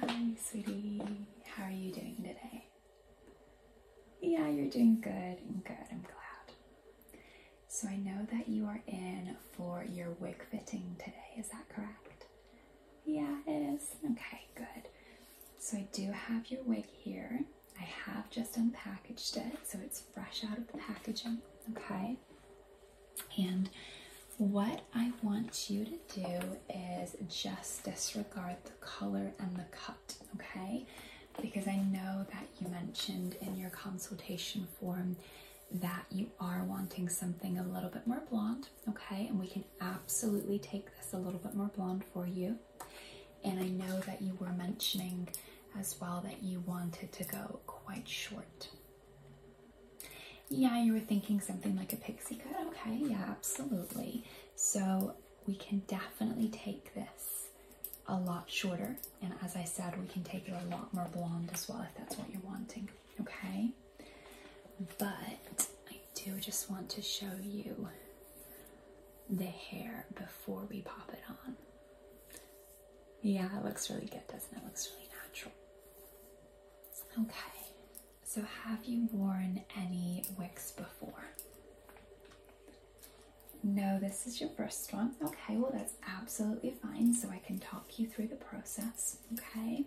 Hi, sweetie. How are you doing today? Yeah, you're doing good. Good, I'm glad. So I know that you are in for your wig fitting today, is that correct? Yeah, it is. Okay, good. So I do have your wig here. I have just unpackaged it, so it's fresh out of the packaging, okay? And what I want you to do is just disregard the color and the cut, okay? Because I know that you mentioned in your consultation form that you are wanting something a little bit more blonde, okay? And we can absolutely take this a little bit more blonde for you. And I know that you were mentioning as well that you wanted to go quite short, yeah, you were thinking something like a pixie cut. Okay, yeah, absolutely. So we can definitely take this a lot shorter. And as I said, we can take it a lot more blonde as well if that's what you're wanting. Okay? But I do just want to show you the hair before we pop it on. Yeah, it looks really good, doesn't it? looks really natural. Okay. So, have you worn any wicks before? No, this is your first one. Okay, well, that's absolutely fine. So, I can talk you through the process. Okay,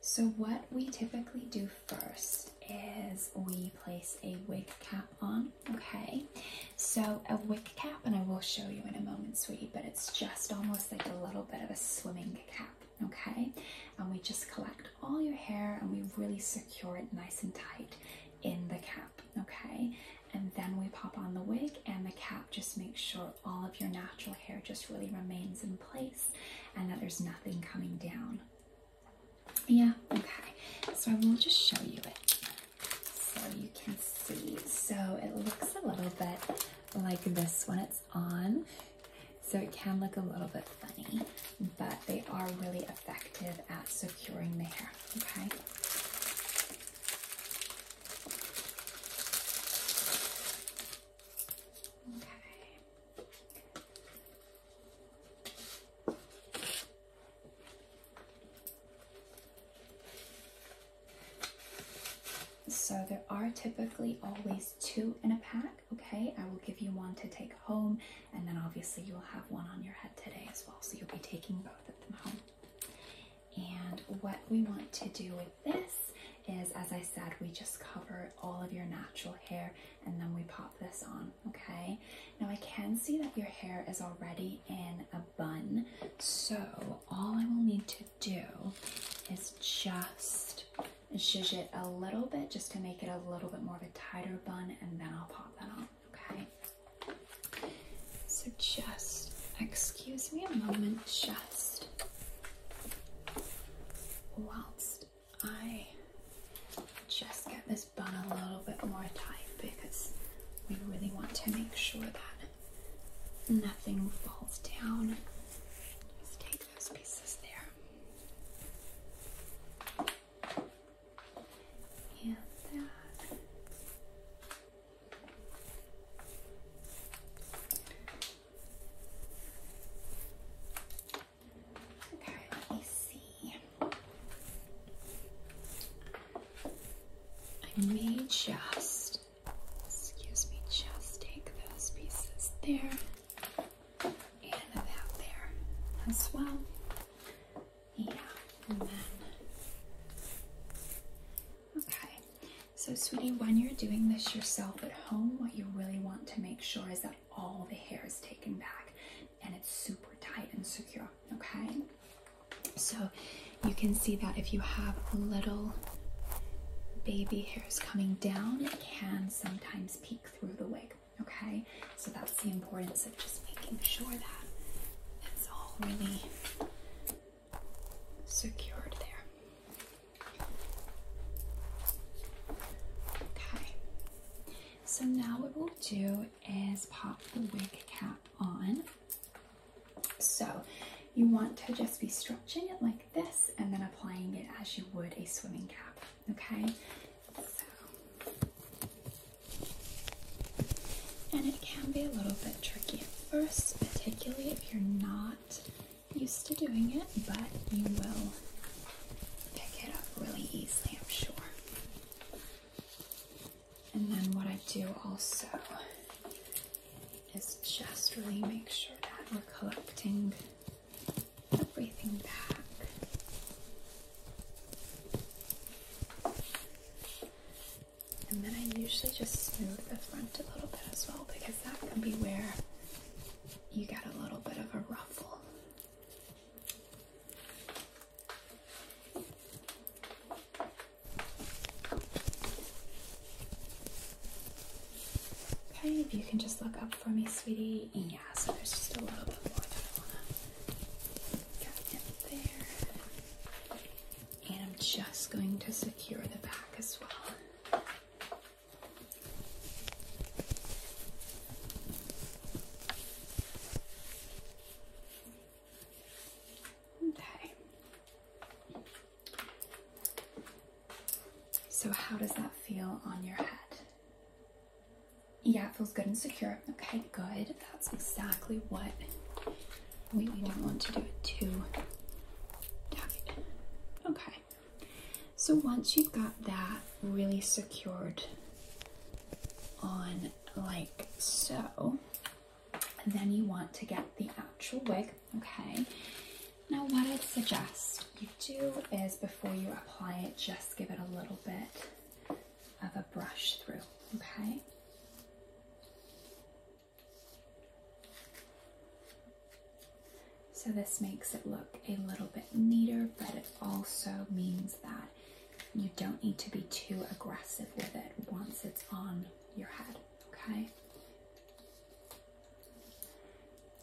so what we typically do first is we place a wig cap on. Okay, so a wig cap, and I will show you in a moment, sweetie, but it's just almost like a little bit of a swimming cap okay? And we just collect all your hair and we really secure it nice and tight in the cap, okay? And then we pop on the wig and the cap just makes sure all of your natural hair just really remains in place and that there's nothing coming down. Yeah, okay. So I will just show you it so you can see. So it looks a little bit like this when it's on. So it can look a little bit funny, but they are really effective at securing the hair, okay? So there are typically always two in a pack, okay? I will give you one to take home, and then obviously you'll have one on your head today as well, so you'll be taking both of them home. And what we want to do with this is, as I said, we just cover all of your natural hair and then we pop this on, okay? Now I can see that your hair is already in a bun, so all I will need to do is just zhuzh it a little bit just to make it a little bit more of a tighter bun and then I'll pop that on, okay? So just, excuse me a moment, just whilst I just get this bun a little bit more tight because we really want to make sure that nothing falls down. Just take those pieces there. And that. Okay, let me see. I may just Excuse me, just take those pieces there and that there as well. Yeah, and then. Okay, so sweetie, when you're doing this yourself at home, what you really want to make sure is that all the hair is taken back and it's super tight and secure, okay? So you can see that if you have little baby hair coming down, it can sometimes peek through the wig. Okay, so that's the importance of just making sure that it's all really secured there. Okay, so now what we'll do is pop the wig cap on. So you want to just be stretching it like this and then applying it as you would a swimming cap, okay? And it can be a little bit tricky at first, particularly if you're not used to doing it, but you will pick it up really easily, I'm sure. And then what I do also is just really make sure that we're collecting everything back. And then I usually just smooth the front a little bit as well because that can be where you get a little bit of a ruffle. Okay, if you can just look up for me, sweetie. Yeah, so there's just a little bit more that I want to get in there. And I'm just going to secure the back as well. Okay. So, how does that feel on your head? Yeah, it feels good and secure. Okay, good. That's exactly what we, don't want to do it too tight. Okay. So once you've got that really secured on like so, then you want to get the actual wig okay? Now what I'd suggest you do is before you apply it, just give it a little bit of a brush through, okay? So this makes it look a little bit neater, but it also means that you don't need to be too aggressive with it once it's on your head, okay?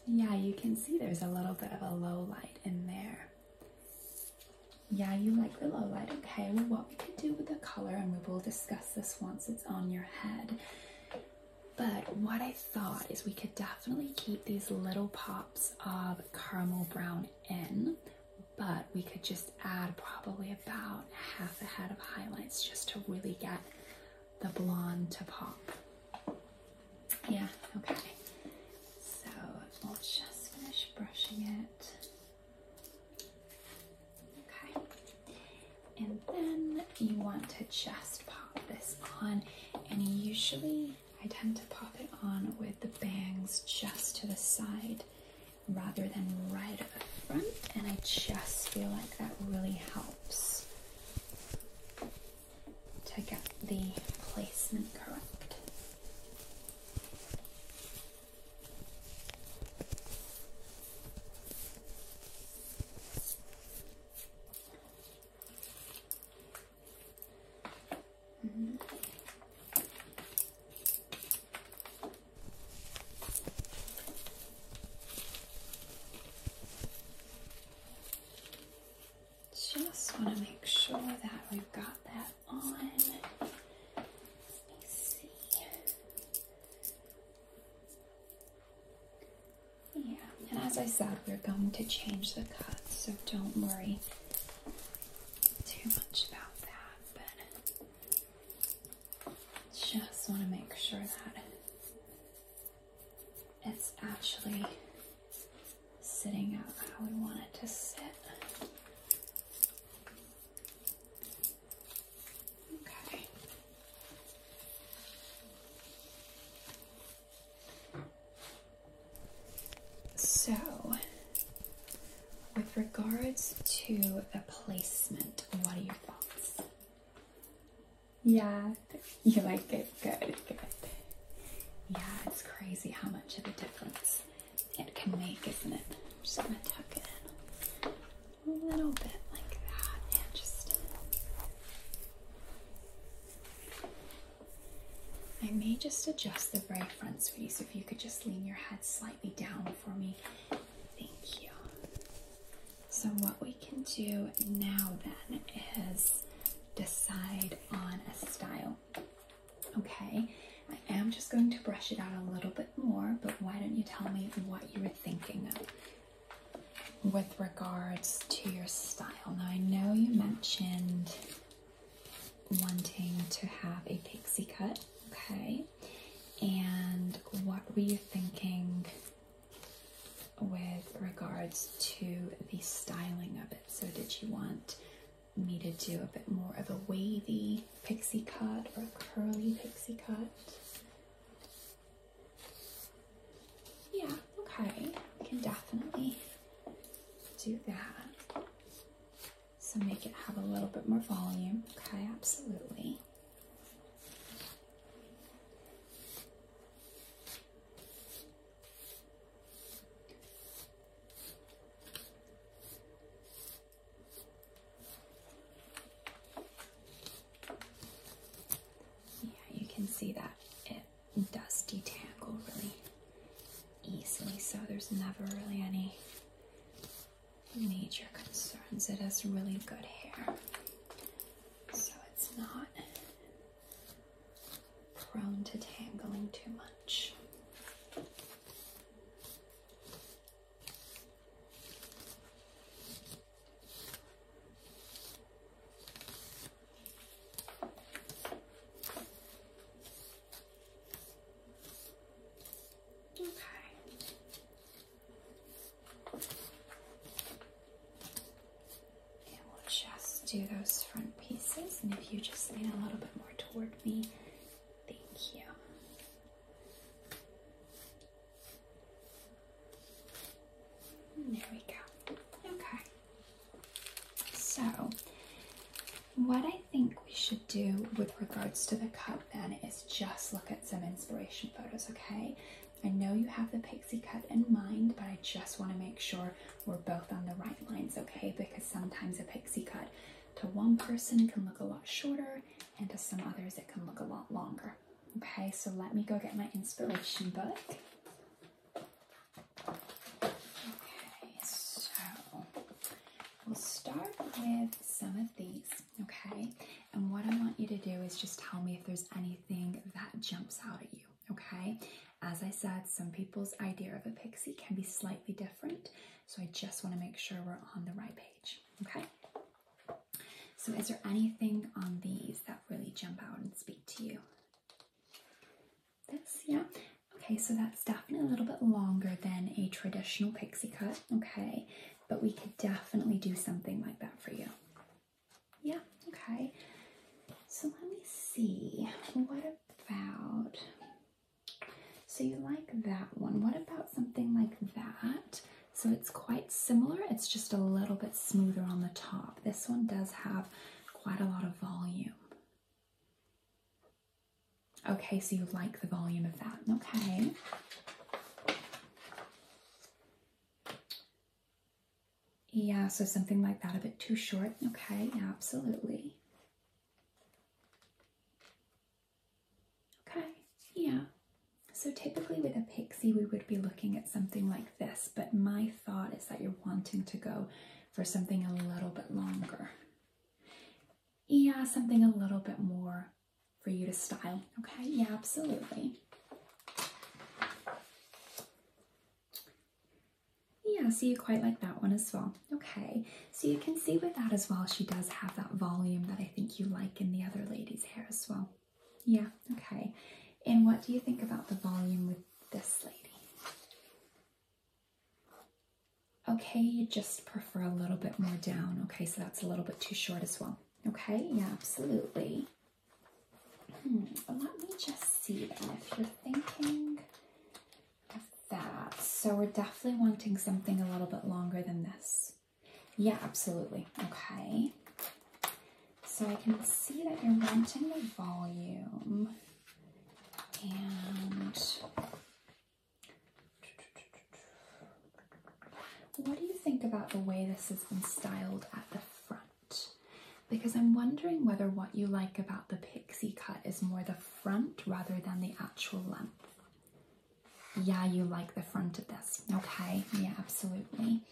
Yeah, you can see there's a little bit of a low light in there. Yeah, you like the low light. Okay, well, what we could do with the color, and we will discuss this once it's on your head. But what I thought is we could definitely keep these little pops of caramel brown in, but we could just add probably about half a head of highlights just to really get the blonde to pop. Yeah, okay. So we'll just finish brushing it. Okay. And then you want to just pop this on. And usually I tend to pop it on with the bangs just to the side rather than right up front. And I just feel like that really helps to get the placement correct. Just want to make sure that we've got that on. Let me see. Yeah, and as I said, we're going to change the cut, so don't worry too much about that. Just want to make sure that it's actually sitting out how we want it to sit. Okay. So, with regards to the placement, what are your thoughts? Yeah, you like it. Good, good. Yeah, it's crazy how much of a difference it can make, isn't it? I'm just gonna tuck it in a little bit like that, and just. I may just adjust the right front, sweetie, so if you could just lean your head slightly down for me. Thank you. So, what we can do now then is decide on a style. Okay, I am just going to brush it out a little bit more, but why don't you tell me what you were thinking of with regards to your style? Now, I know you mentioned wanting to have a pixie cut, okay, and what were you thinking with regards to the styling of it. So, did you want me to do a bit more of a wavy pixie cut or a curly pixie cut? Yeah, okay, we can definitely do that. So, make it have a little bit more volume. Okay, absolutely. Yeah, you can see that it does detangle really easily, so there's never really any major concerns. It has really good hair, so it's not prone to tangling too much. Okay. And we'll just do those front pieces. And if you just lean a little bit more toward me, thank you. there we go. Okay. So, what I think we should do with regards to the cut, then is just look at some inspiration photos, okay? I know you have the pixie cut in mind, but I just want to make sure we're both on the right lines, okay? Because sometimes a pixie cut to one person can look a lot shorter, and to some others it can look a lot longer. Okay, so let me go get my inspiration book. Okay, so we'll start with some of these okay? And what I want you to do is just tell me if there's anything that jumps out at you, okay? As I said, some people's idea of a pixie can be slightly different, so I just want to make sure we're on the right page, okay? So is there anything on these that really jump out and speak to you? This, yeah? Okay, so that's definitely a little bit longer than a traditional pixie cut, okay? but we could definitely do something like that for you. Yeah, okay. So let me see. What about. So you like that one. What about something like that? So it's quite similar, it's just a little bit smoother on the top. This one does have quite a lot of volume. Okay, so you like the volume of that. Okay. Yeah, so something like that, a bit too short. Okay, absolutely. Okay, yeah. So typically with a pixie, we would be looking at something like this, but my thought is that you're wanting to go for something a little bit longer. Yeah, something a little bit more for you to style. Okay, yeah, absolutely. Yeah, see, you quite like that one as well. Okay, so you can see with that as well, she does have that volume that I think you like in the other lady's hair as well. Yeah, okay. And what do you think about the volume with this lady? Okay, you just prefer a little bit more down. Okay, so that's a little bit too short as well. Okay, yeah, absolutely. Hmm, let me just see then if you're thinking of that. So we're definitely wanting something a little bit longer than this. Yeah, absolutely. Okay. So I can see that you're wanting the volume and what do you think about the way this has been styled at the front? Because I'm wondering whether what you like about the pixie cut is more the front rather than the actual length. Yeah, you like the front of this. Okay, yeah, absolutely.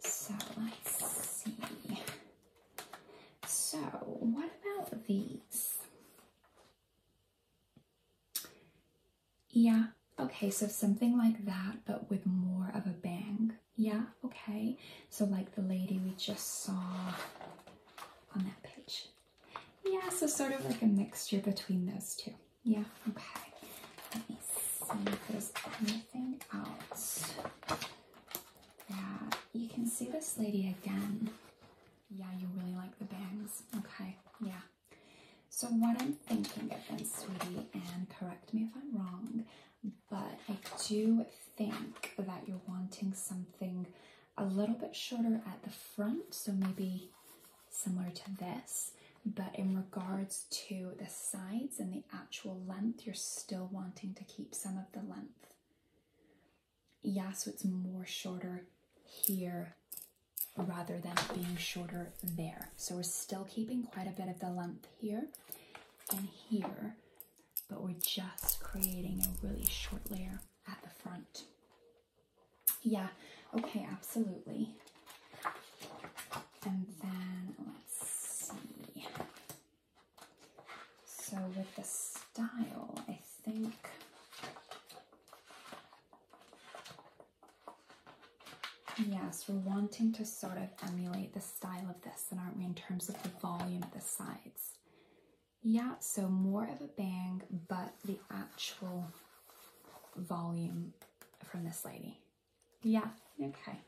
So let's see. So, what about these? Yeah, okay, so something like that, but with more of a bang. Yeah, okay. So like the lady we just saw on that page. Yeah, so sort of like a mixture between those two. Yeah, okay. Let me see if there's anything else. Yeah, you can see this lady again. Yeah, you really like the bangs. Okay, yeah. So what I'm thinking of then, sweetie, and correct me if I'm wrong, but I do think that you're wanting something a little bit shorter at the front, so maybe similar to this, but in regards to the sides and the actual length, you're still wanting to keep some of the length. Yeah, so it's more shorter here rather than being shorter there. So we're still keeping quite a bit of the length here and here, but we're just creating a really short layer at the front. Yeah, okay, absolutely. And then let's see. So with the style, I think Yes, we're wanting to sort of emulate the style of this, and aren't we, in terms of the volume of the sides? Yeah, so more of a bang, but the actual volume from this lady. Yeah, okay.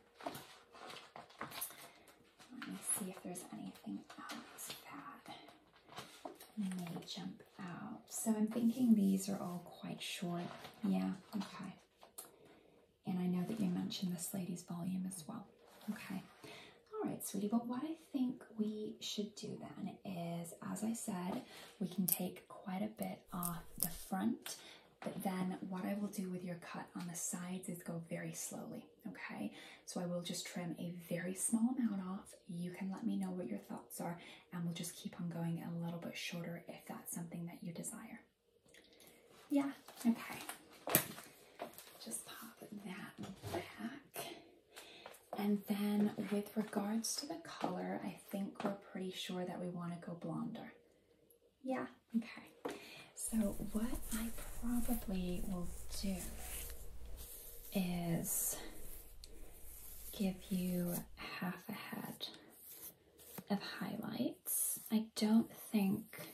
Let me see if there's anything else that may jump so I'm thinking these are all quite short. Yeah, okay. And I know that you mentioned this lady's volume as well. Okay. All right, sweetie. But what I think we should do then is, as I said, we can take quite a bit off the front. But then what I will do with your cut on the sides is go very slowly, okay? So I will just trim a very small amount off. You can let me know what your thoughts are, and we'll just keep on going a little bit shorter if that's something that you desire. Yeah, okay. Just pop that back. And then with regards to the color, I think we're pretty sure that we want to go blonder. Yeah, okay. So what I probably will do is give you half a head of highlights. I don't think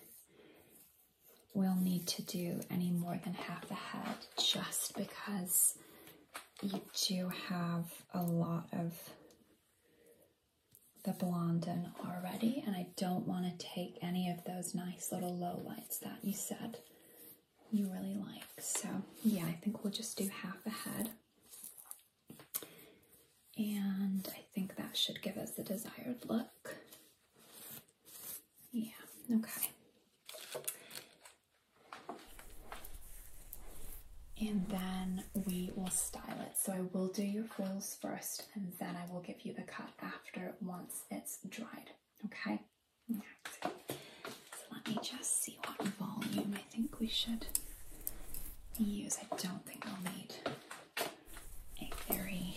we'll need to do any more than half the head just because you do have a lot of the blonde in already and I don't want to take any of those nice little low lights that you said you really like. So yeah, I think we'll just do half the head. And I think that should give us the desired look. Yeah, okay. And then we will style it. So I will do your foils first and then I will give you the cut after once it's dried. Okay? Let me just see what volume I think we should use. I don't think we'll need a very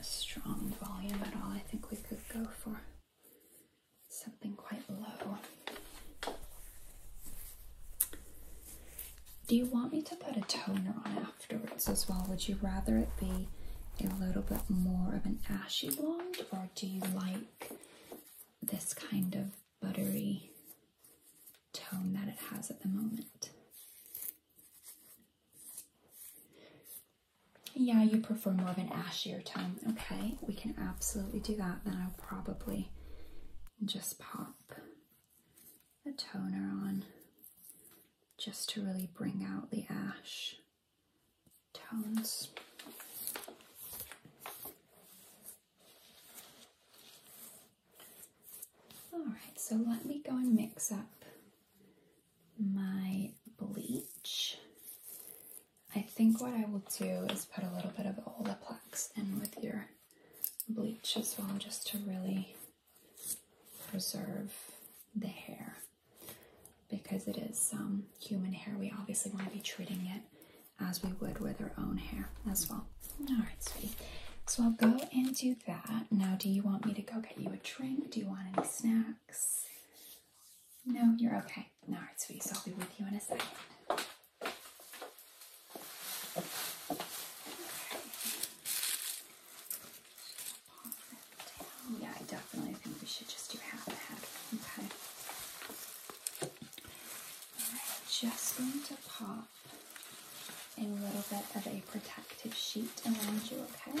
strong volume at all. I think we could go for something quite low. Do you want me to put a toner on afterwards as well? Would you rather it be a little bit more of an ashy blonde or do you like this kind of buttery tone that it has at the moment. Yeah, you prefer more of an ashier tone. Okay, we can absolutely do that. Then I'll probably just pop a toner on just to really bring out the ash tones. Alright, so let me go and mix up my bleach. I think what I will do is put a little bit of Olaplex in with your bleach as well, just to really preserve the hair because it is um, human hair. We obviously want to be treating it as we would with our own hair as well. All right, sweetie. So I'll go and do that. Now, do you want me to go get you a drink? Do you want any snacks? No, you're okay. All right, sweetie. So I'll be with you in a second. Yeah, I definitely think we should just do half a head. Okay. just going to pop a little bit of a protective sheet around you, okay?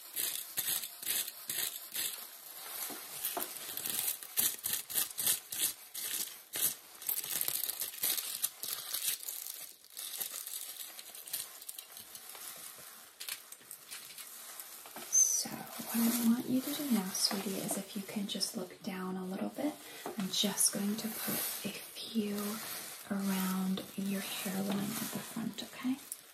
So, what I want you to do now, sweetie, is if you can just look down a little bit, I'm just going to put a few around your hairline at the front, okay?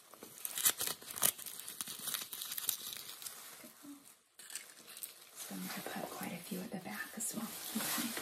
So I'm going to put quite a few at the back as well. Okay.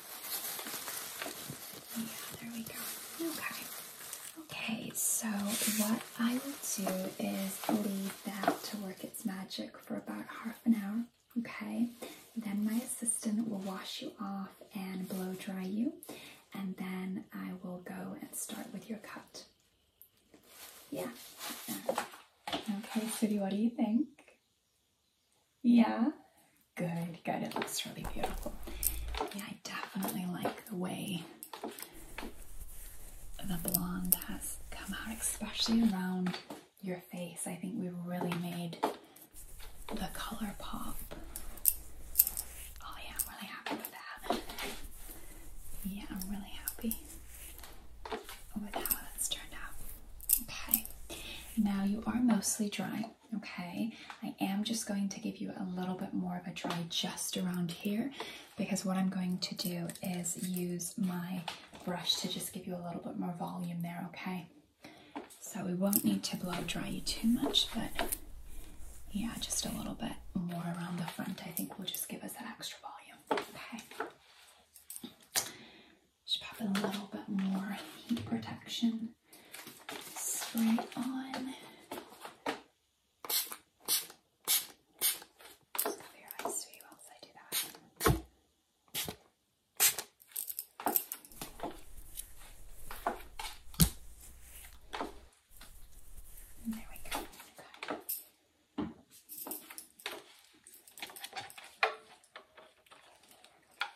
Yeah, there we go. Okay. Okay, so what I will do is leave that to work its magic for about half an hour. Okay, then my assistant will wash you off and blow dry you, and then I will go and start with your cut. Yeah. Okay, Sudie, what do you think? Yeah? Good, good. It looks really beautiful. Yeah, I definitely like the way the blonde has come out, especially around your face. I think we really made the color pop. Oh yeah, I'm really happy with that. Yeah, I'm really happy with how that's turned out. Okay. Now you are mostly dry, okay? I am just going to give you a little bit more of a dry just around here because what I'm going to do is use my brush to just give you a little bit more volume there, okay? So we won't need to blow dry you too much, but yeah, just a little bit more around the front, I think will just give us that extra volume, okay? Just pop in a little bit more heat protection spray on. cover your eyes for you whilst I do that. there we go.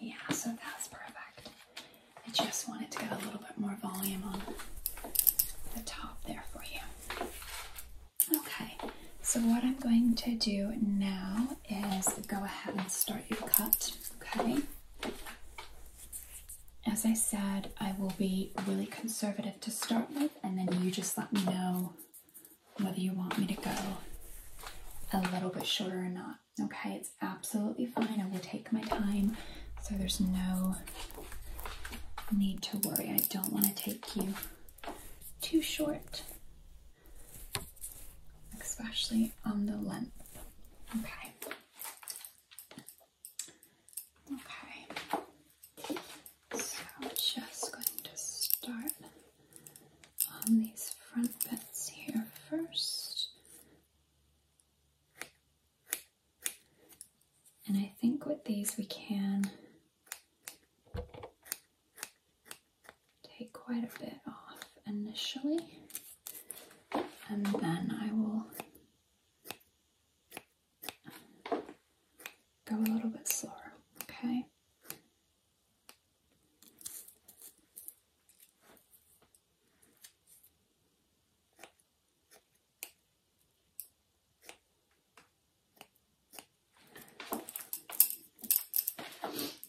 Yeah, so that's perfect. I just wanted to get a little bit more volume on the top there for you. Okay, so what I'm going to do now is go ahead and start your cut, okay? As I said, I will be really conservative to start with, and then you just let me know whether you want me to go a little bit shorter or not. Okay, it's absolutely fine. I will take my time, so there's no need to worry. I don't want to take you too short especially on the length. Okay. Okay. So I'm just going to start on these front bits here first. And I think with these we can take quite a bit off initially and then I will go a little bit slower, okay?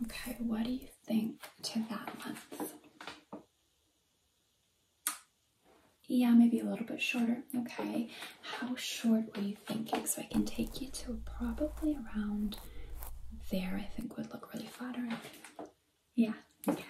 Okay, what do you think to that length? Yeah, maybe a little bit shorter. Okay, how short were you thinking? So I can take you to probably around there, I think would look really flattering. Yeah, okay.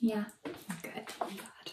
Yeah, good. I'm glad.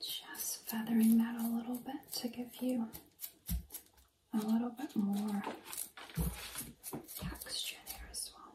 Just feathering that a little bit to give you a little bit more texture there as well.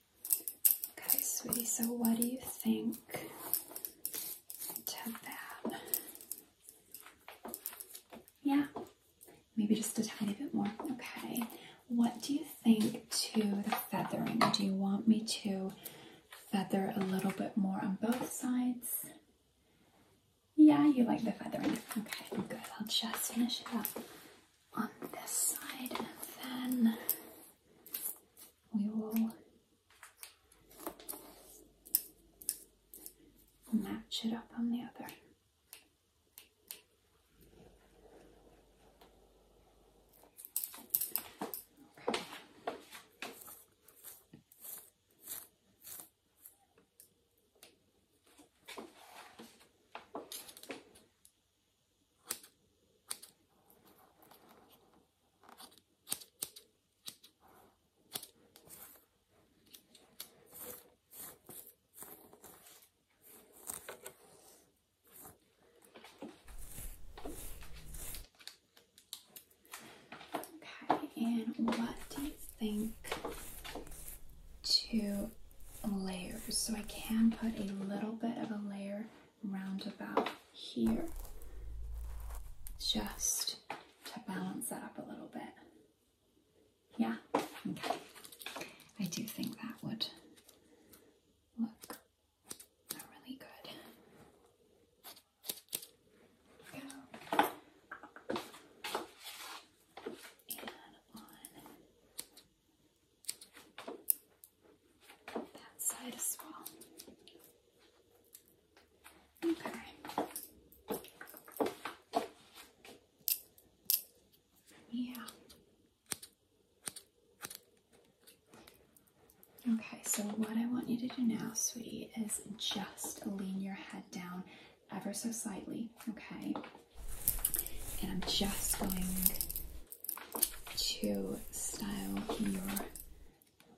Okay, sweetie, so what do you think to that? Yeah, maybe just a tiny bit more. Okay, what do you think to the feathering? Do you want me to feather a little bit more on both sides? Yeah, you like the feathering. Okay, good. I'll just finish it up on this side and then we will match it up on the other. Okay, and what do you think to layers? So I can put a little bit of a layer round about here just to balance that up a little bit. Yeah, I do think that would look really good. Go. And on that side as well. Okay. Yeah. Okay, so what I want you to do now, sweetie, is just lean your head down ever so slightly, okay? And I'm just going to style your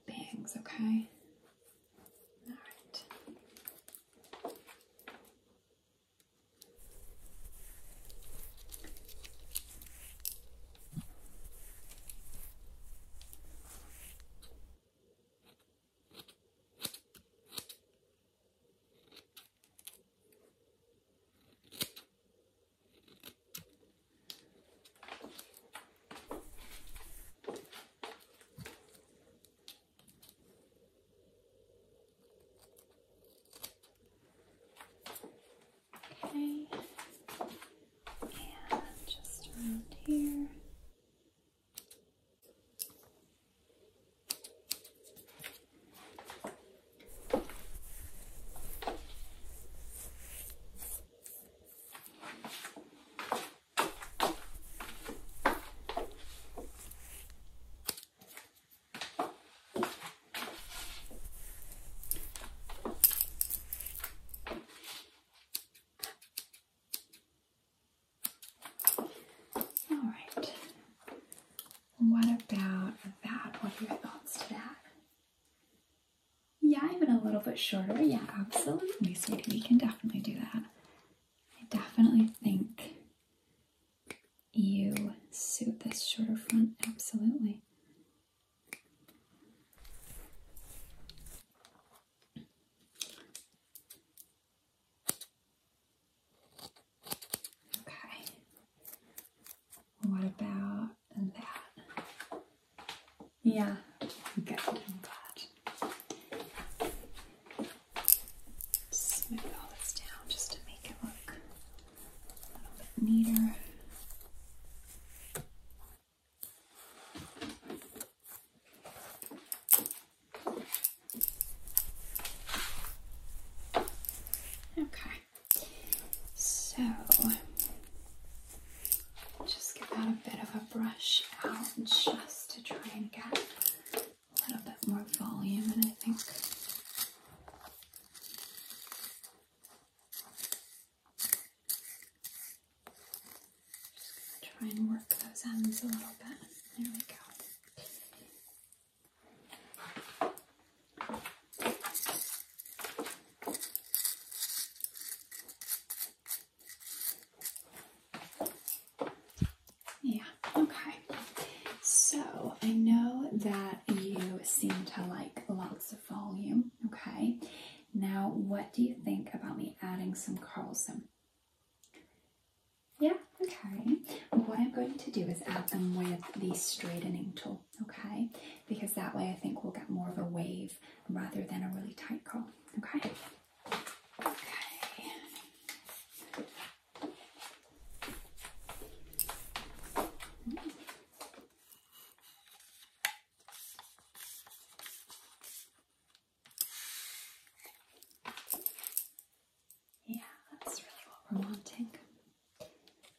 bangs, okay? Alright. Okay, and just around here. All right. What about that? What are your thoughts to that? Yeah, even a little bit shorter. Yeah, absolutely, sweetie. We can definitely do that. I definitely think you suit this shorter front. Absolutely. Okay. What about that? Yeah, good. Smooth all this down just to make it look a little bit neater. Okay. So just give that a bit of a brush out just to try and get a little bit more volume and I think just gonna try and work those ends a little bit. There we go. Yeah, okay. So I know that you seem to like lots of volume, okay? Now, what do you think about me adding some curls in? Yeah, okay. What I'm going to do is add them with the straightening tool okay? Because that way I think we'll get more of a wave rather than a really tight curl, okay? Okay. Yeah, that's really what we're wanting.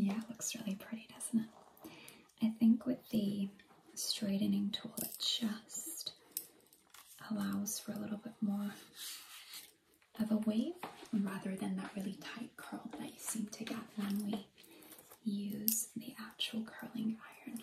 Yeah, it looks really pretty, doesn't it? I think with the straightening tool, it just allows for a little bit more of a wave rather than that really tight curl that seem to get when we use the actual curling iron.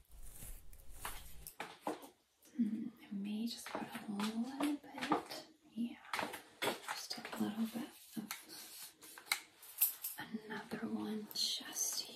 Mm-hmm. I may just put a little bit, yeah, just a little bit another one just here.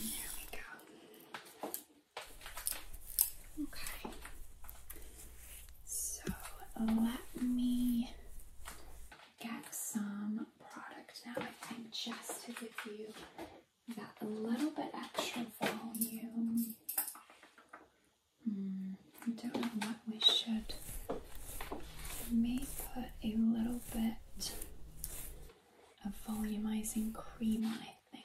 There we go. Okay. So let me get some product now, I think, just to give you that little bit extra volume. Hmm, I don't know what we should. Maybe put a little bit of volumizing cream I think.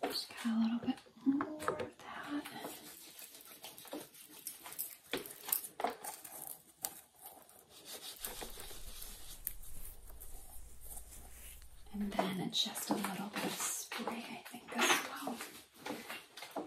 Just got a little bit more of that. And then just a little bit of spray, I think, as well.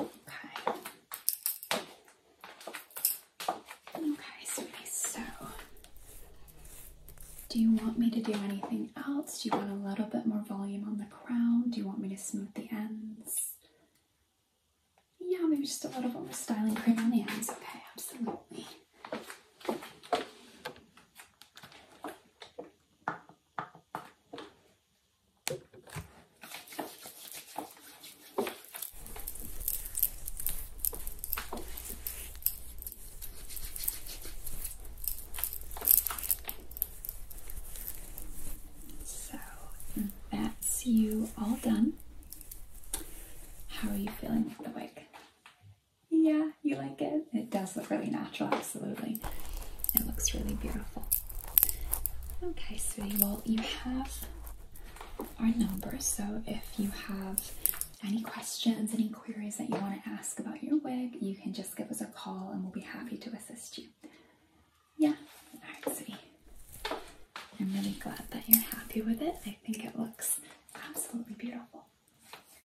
Okay. Okay, so do you want me to do anything else? Do you want a little bit more volume on the crown? Do you want me to smooth the ends? Yeah, maybe just a little bit more styling cream on the ends. Okay, absolutely. So that's you all done. How are you feeling with the wig? Yeah, you like it? It does look really natural, absolutely. It looks really beautiful. Okay, sweetie, well, you have our number, so if you have any questions, any queries that you want to ask about your wig, you can just give us a call and we'll be happy to assist you. Yeah, alright, sweetie. I'm really glad that you're happy with it. I think it looks absolutely beautiful.